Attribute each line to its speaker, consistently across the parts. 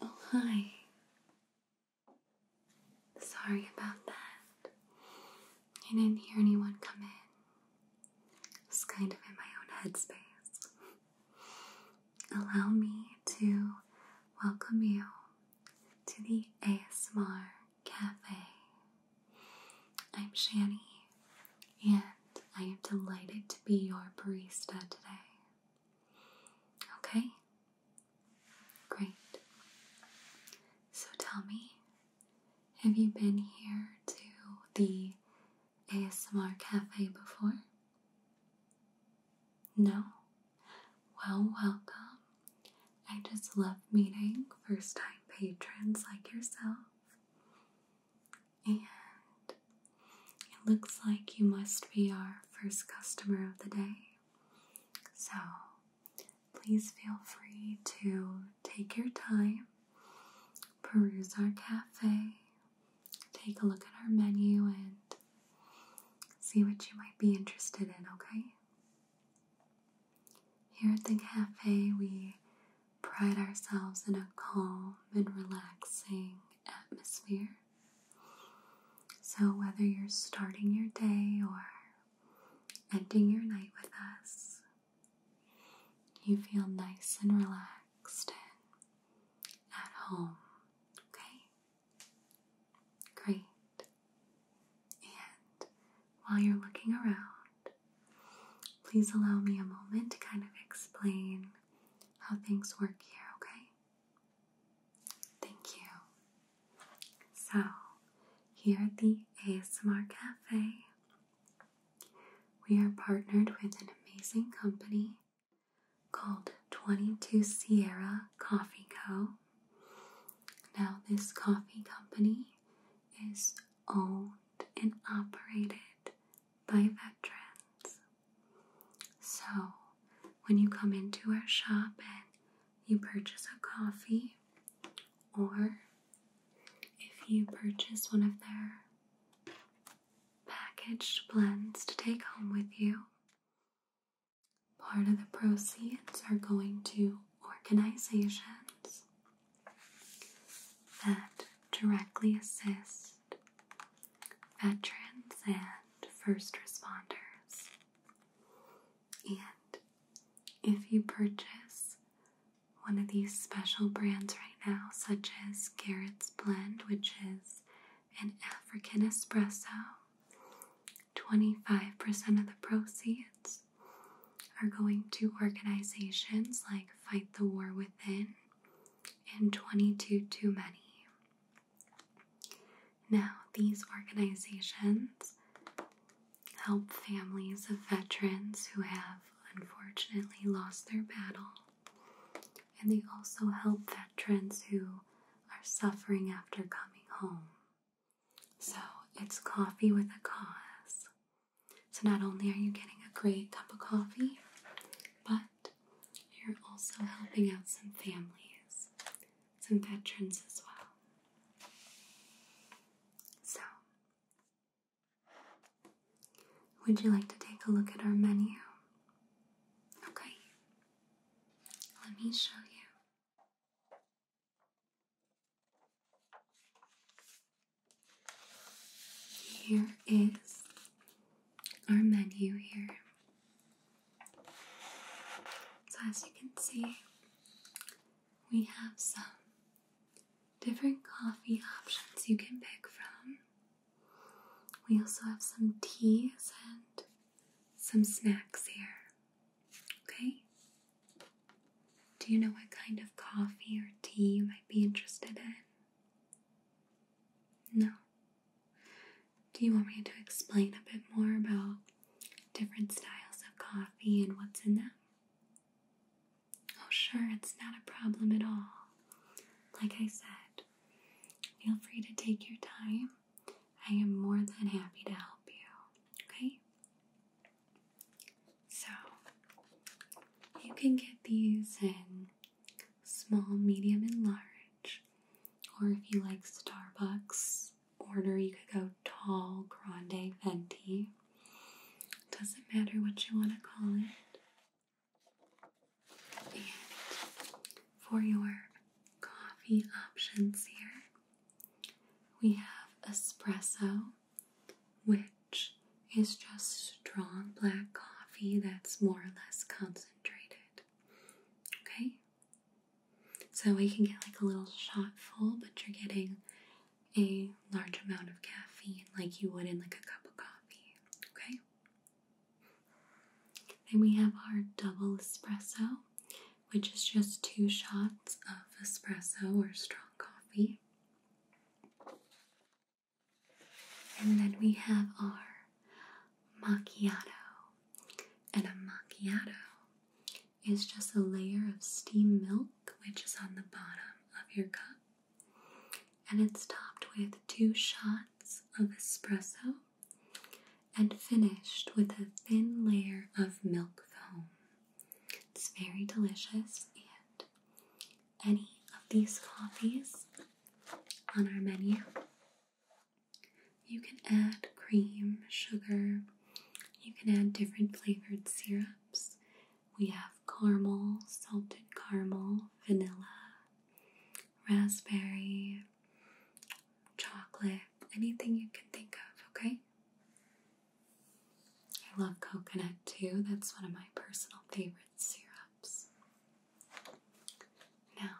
Speaker 1: Oh, hi. Sorry about that. I didn't hear anyone come in. I was kind of in my own headspace. Allow me to welcome you to the ASMR Cafe. I'm Shani, and I am delighted to be your barista today. Okay, Great. So tell me, have you been here to the ASMR cafe before? No? Well, welcome. I just love meeting first time patrons like yourself. And it looks like you must be our first customer of the day. So please feel free to take your time, peruse our cafe, take a look at our menu, and see what you might be interested in, okay? Here at the cafe, we pride ourselves in a calm and relaxing atmosphere. So, whether you're starting your day or ending your night with us, you feel nice and relaxed and at home. Okay? Great. And while you're looking around, please allow me a moment to kind of explain how things work here, okay? Thank you. So, here at the ASMR Cafe, we are partnered with an amazing company called 22 Sierra Coffee Co. Now, this coffee company is owned and operated by veterans. So, when you come into our shop and you purchase a coffee, or if you purchase one of their packaged blends to take home with you, part of the proceeds are going to organizations that directly assist veterans and first responders and if you purchase one of these special brands right now, such as Garrett's Blend, which is an African espresso, 25% of the proceeds are going to organizations like Fight the War Within and 22 Too Many. Now, these organizations help families of veterans who have unfortunately lost their battle, and they also help veterans who are suffering after coming home. So, it's coffee with a cause. So, not only are you getting a great cup of coffee, but you're also helping out some families some veterans as well. So, would you like to take a look at our menu? Okay, let me show you. Here is our menu here. So, as you can see, we have some different coffee options you can pick from. We also have some teas and some snacks here. Okay? Do you know what kind of coffee or tea you might be interested in? No. Do you want me to explain a bit more about different styles of coffee and what's in them? Oh, sure, it's not a problem at all. Like I said, feel free to take your time. I am more than happy to help you. Okay? So, you can get these in small, medium, and large. Or if you like Starbucks, order. You could go tall, grande, venti. Doesn't matter what you want to call it. for your coffee options here, we have espresso, which is just strong black coffee that's more or less concentrated. Okay? So we can get like a little shot full, but you're getting a large amount of caffeine like you would in like a cup of coffee. Okay? Then we have our double espresso, which is just two shots of espresso or strong coffee. And then we have our macchiato. And a macchiato is just a layer of steamed milk, which is on the bottom of your cup. And it's topped with two shots of espresso and finished with a thin layer of milk foam. It's very delicious, and any of these coffees on our menu you can add cream, sugar, you can add different flavored syrups. We have caramel, salted caramel, vanilla, raspberry, chocolate, anything you can think of, okay? I love coconut too, that's one of my personal favorite syrups. Now,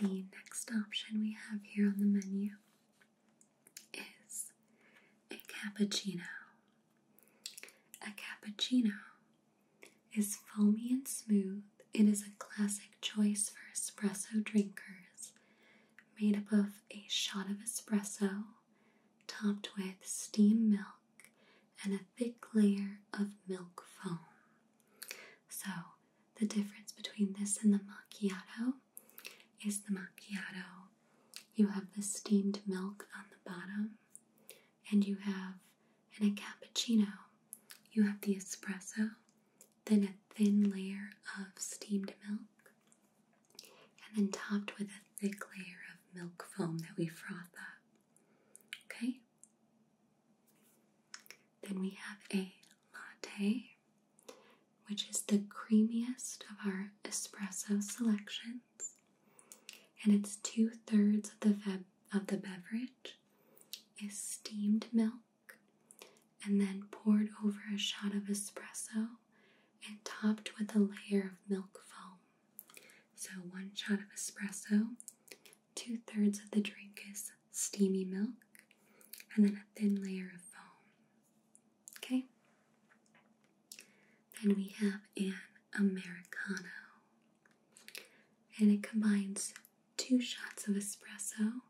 Speaker 1: the next option we have here on the menu is a cappuccino. A cappuccino is foamy and smooth. It is a classic choice for espresso drinkers, made up of a shot of espresso topped with steam milk and a thick layer of milk foam. So, the difference between this and the macchiato is the macchiato. You have the steamed milk on the bottom, and you have in a cappuccino, you have the espresso, then a thin layer of steamed milk, and then topped with a thick layer of milk foam that we froth up. Okay? Then we have a latte, which is the creamiest of our espresso selections, and it's two thirds of the of the beverage is steamed milk, and then poured over a shot of espresso, and topped with a layer of milk foam. So one shot of espresso, two thirds of the drink is steamy milk, and then a thin layer of foam. Okay? Then we have an Americano. And it combines two shots of espresso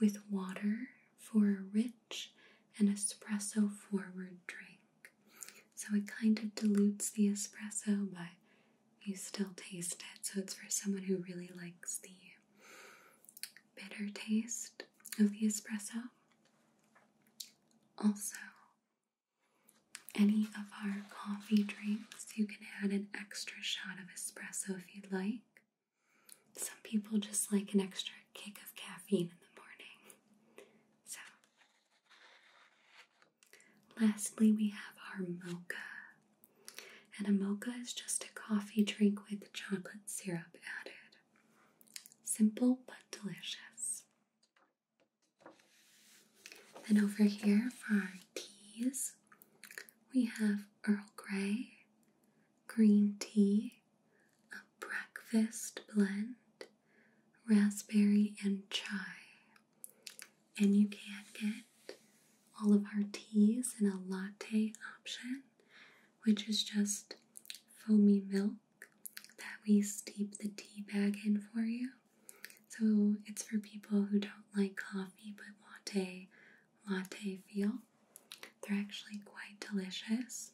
Speaker 1: with water for a rich and espresso forward drink. So it kind of dilutes the espresso, but you still taste it. So it's for someone who really likes the bitter taste of the espresso. Also, any of our coffee drinks, you can add an extra shot of espresso if you'd like. Some people just like an extra kick of caffeine in the morning. So, lastly, we have our mocha and a mocha is just a coffee drink with chocolate syrup added. Simple but delicious. Then over here for our teas, we have Earl Grey, green tea, a breakfast blend, raspberry and chai. And you can get all of our teas and a latte option, which is just foamy milk that we steep the tea bag in for you. So it's for people who don't like coffee but want a latte feel. They're actually quite delicious.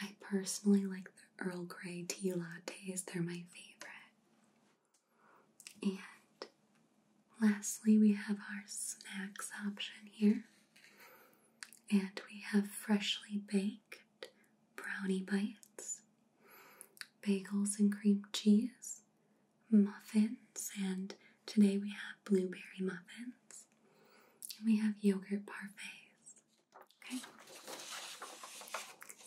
Speaker 1: I personally like the Earl Grey tea lattes, they're my favorite. And lastly, we have our snacks option here. And we have freshly baked brownie bites, bagels and cream cheese, muffins, and today we have blueberry muffins. we have yogurt parfaits. Okay?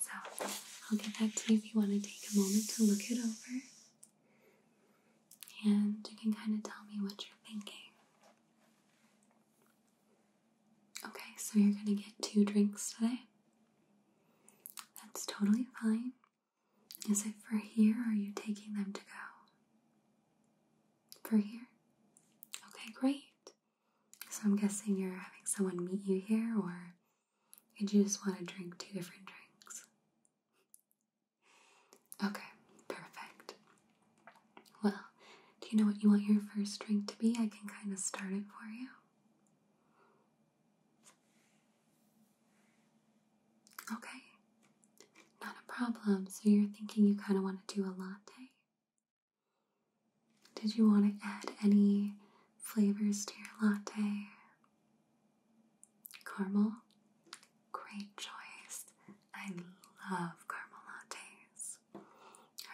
Speaker 1: So I'll get back to you if you want to take a moment to look it over. And you can kind of tell me what you're thinking. Okay, so you're going to get two drinks today. That's totally fine. Is it for here or are you taking them to go? For here? Okay, great. So I'm guessing you're having someone meet you here or did you just want to drink two different drinks? Okay, perfect. Well, do you know what you want your first drink to be? I can kind of start it for you. Okay, not a problem. So you're thinking you kind of want to do a latte? Did you want to add any flavors to your latte? Caramel, great choice. I love caramel lattes. All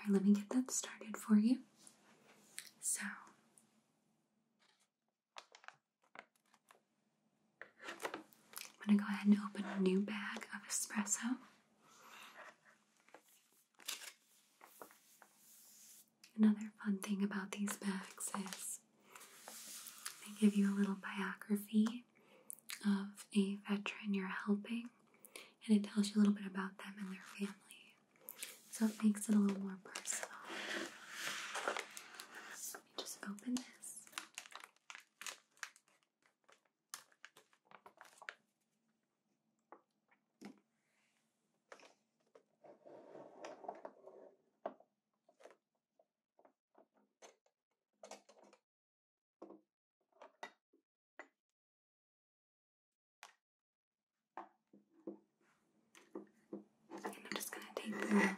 Speaker 1: right, let me get that started for you. So, I'm going to go ahead and open a new bag of espresso. Another fun thing about these bags is they give you a little biography of a veteran you're helping, and it tells you a little bit about them and their family. So it makes it a little more personal. Let me just open this. I'm just going to take the filter out here.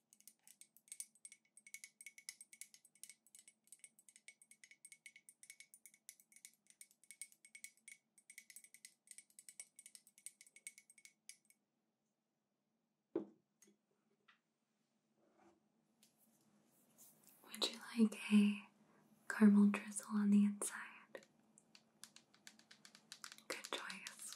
Speaker 1: Would you like a caramel drizzle on the inside? Good choice.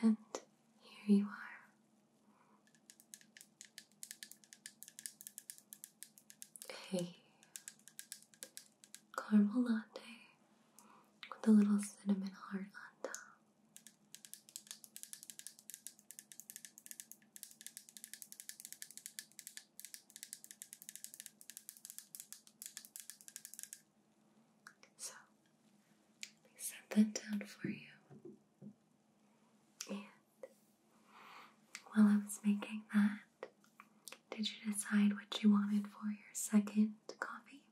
Speaker 1: And here you are. Hey, caramel latte with a little cinnamon heart on top. So, I set that down for you. And while I was making that, did you decide what you wanted for your second coffee?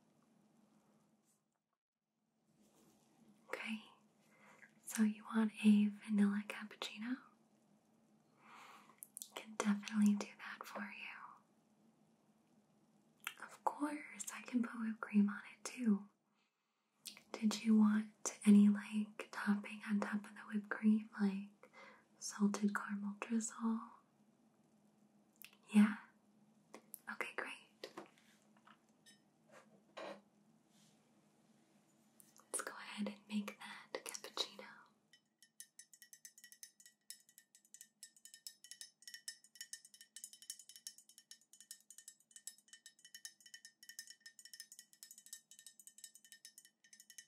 Speaker 1: Okay, so you want a vanilla cappuccino? Can definitely do that for you. Of course, I can put whipped cream on it too. Did you want any like topping on top of the whipped cream, like salted caramel drizzle. Yeah? Okay, great. Let's go ahead and make that cappuccino.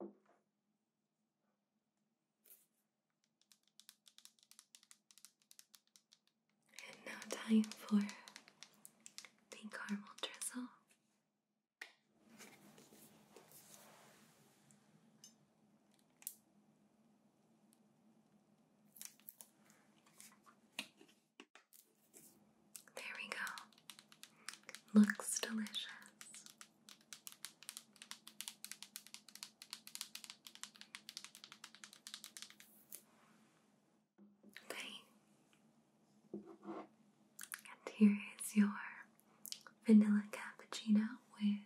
Speaker 1: And now time for the caramel drizzle. There we go. Looks delicious. Okay. And here is your vanilla cappuccino with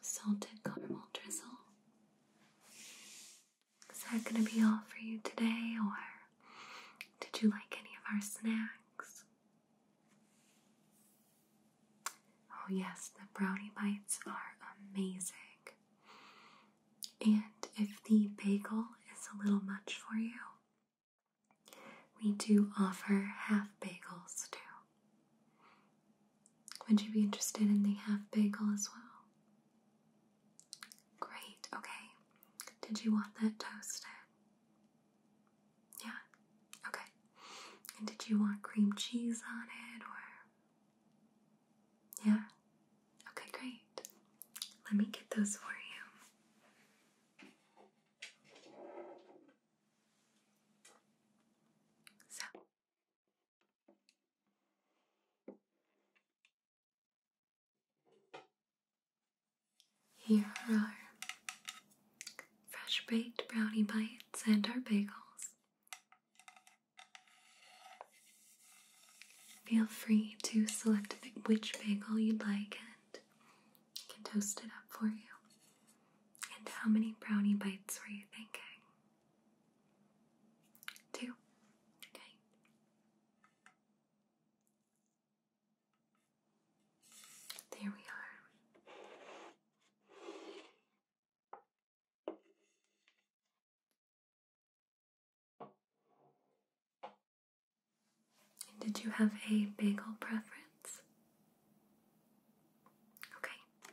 Speaker 1: salted caramel drizzle. Is that going to be all for you today, or did you like any of our snacks? Oh, yes, the brownie bites are amazing. And if the bagel is a little much for you, we do offer half bagels too. Would you be interested in the half bagel as well? Great, okay. Did you want that toasted? Yeah, okay. And did you want cream cheese on it or? Yeah, okay, great. Let me get those for you. So. Here are fresh baked brownie bites and our bagels. Feel free to select which bagel you'd like and I can toast it up for you. And how many brownie bites were you thinking? Two. Okay. There we are. did you have a bagel preference? Okay.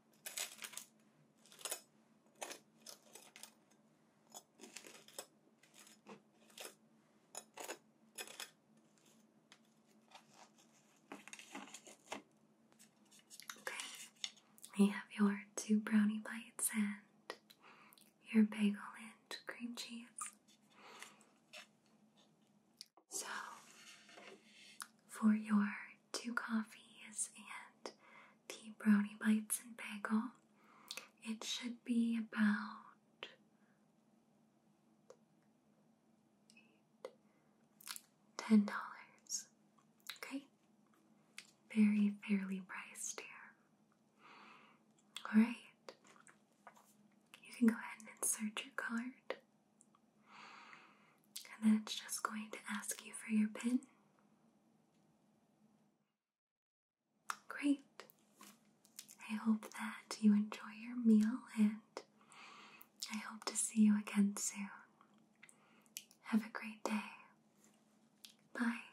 Speaker 1: Okay, I have your two brownie bites and your bagel and cream cheese. So, for your two coffees, and the brownie bites and bagel. It should be about ten dollars. Okay, very fairly priced here. All right, you can go ahead and insert your card. And then it's just going to ask you for your PIN. Great. I hope that you enjoy your meal and I hope to see you again soon. Have a great day. Bye.